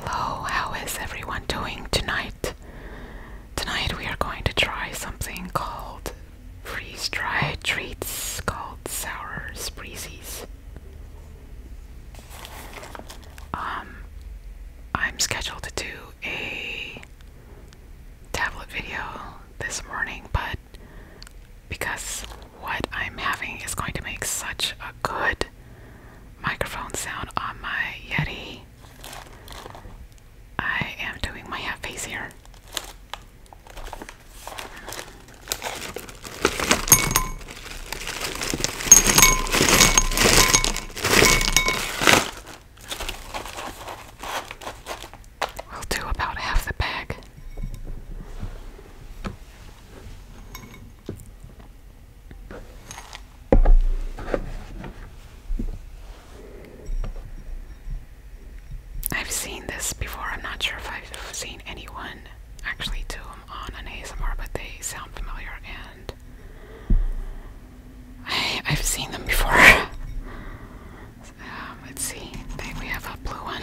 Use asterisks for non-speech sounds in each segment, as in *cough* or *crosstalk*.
Hello, oh, how is everyone doing tonight? Tonight we are going to try something called freeze dried treats called sour spreezies. Um, I'm scheduled to do a tablet video this morning, but because what I'm having is going to make such a good microphone sound on my Yeti. I am doing my half face here. We'll do about half the bag. I've seen this before. I'm not sure if I've seen anyone actually do them on an ASMR, but they sound familiar and I, have seen them before. *laughs* Um, let's see. think we have a blue one.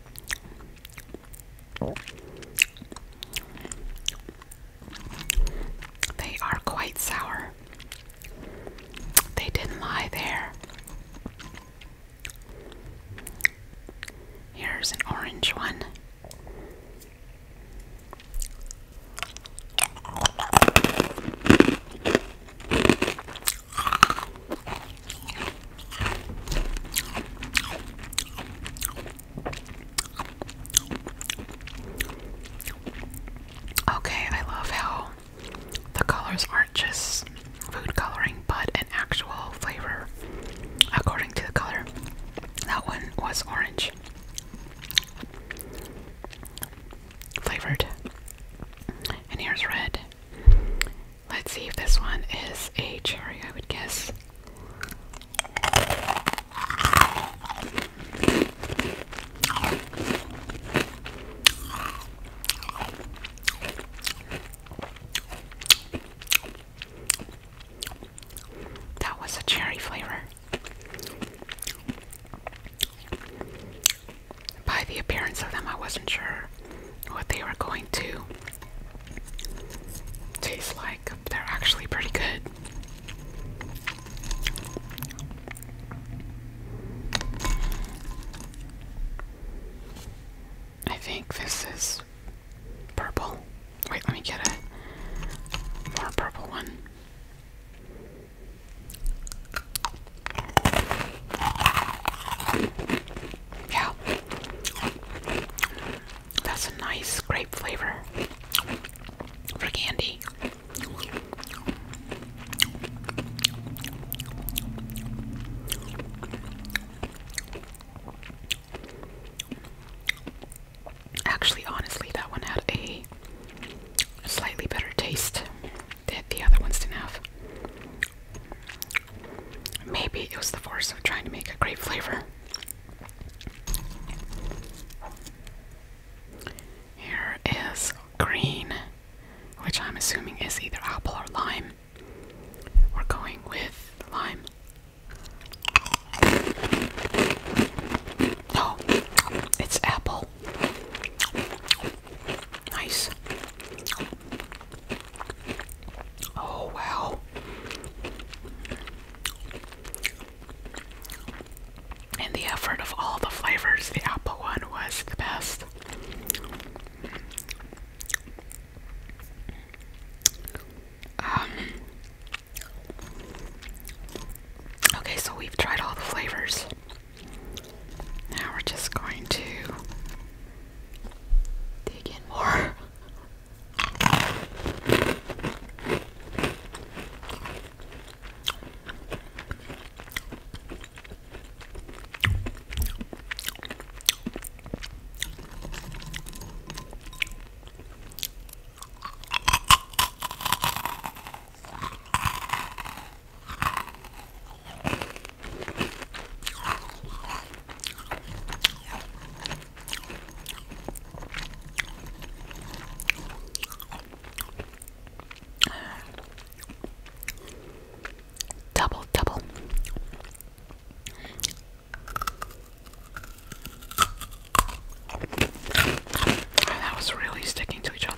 They are quite sour. They didn't lie there. Here's an orange one. Okay, I love how the colors aren't just food coloring but an actual flavor according to the color. That one was orange flavored, and here's red. Let's see if this one is a cherry, I would guess. That was a cherry flavor. By the appearance of them, I wasn't sure what they were going to taste like. They're actually pretty good. I think this is purple. Wait, let me get a more purple one. Yeah. That's a nice grape flavor for candy. Actually, honestly, that one had a slightly better taste than the other ones did have. Maybe it was the force of trying to make a great flavor. Here is green, which I'm assuming is either apple or lime. We're going with lime. Oh, it's apple. Nice. Oh, wow. And the effort of all the flavors, the apple one was the best. Um, okay, so we've tried all the flavors. Now we're just going to Dig in more. Double, double. That was really sticking to each other.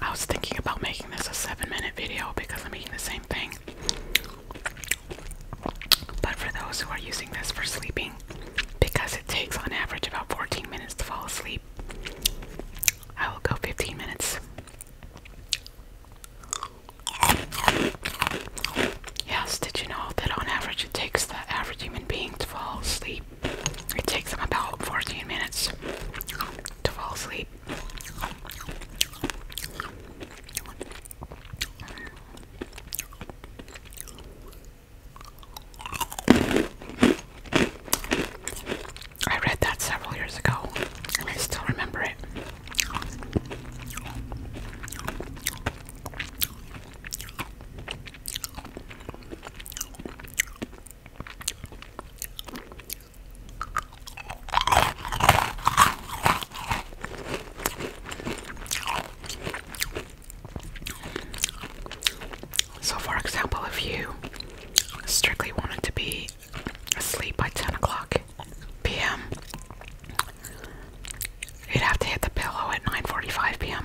I was thinking about making this a seven minute video because I'm eating the same thing. But for those who are using this for sleeping, because it takes on average about 14 minutes to fall asleep, I will go 15 minutes. Yes, did you know that on average it takes the average human being to fall asleep it takes them about 14 minutes to fall asleep. I read that several years ago, I still remember it. So, for example, if you strictly wanted to be asleep by 10 o'clock p.m., you'd have to hit the pillow at 9:45 p.m.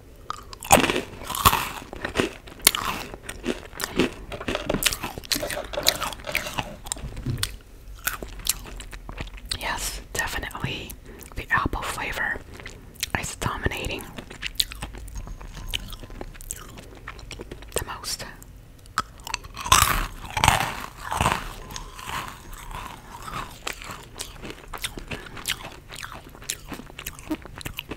Yes, definitely the apple flavor is dominating the most.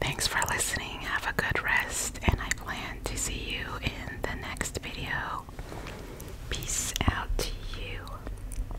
Thanks for listening. Have a good rest, and I plan to see you in the next video. Peace out to you.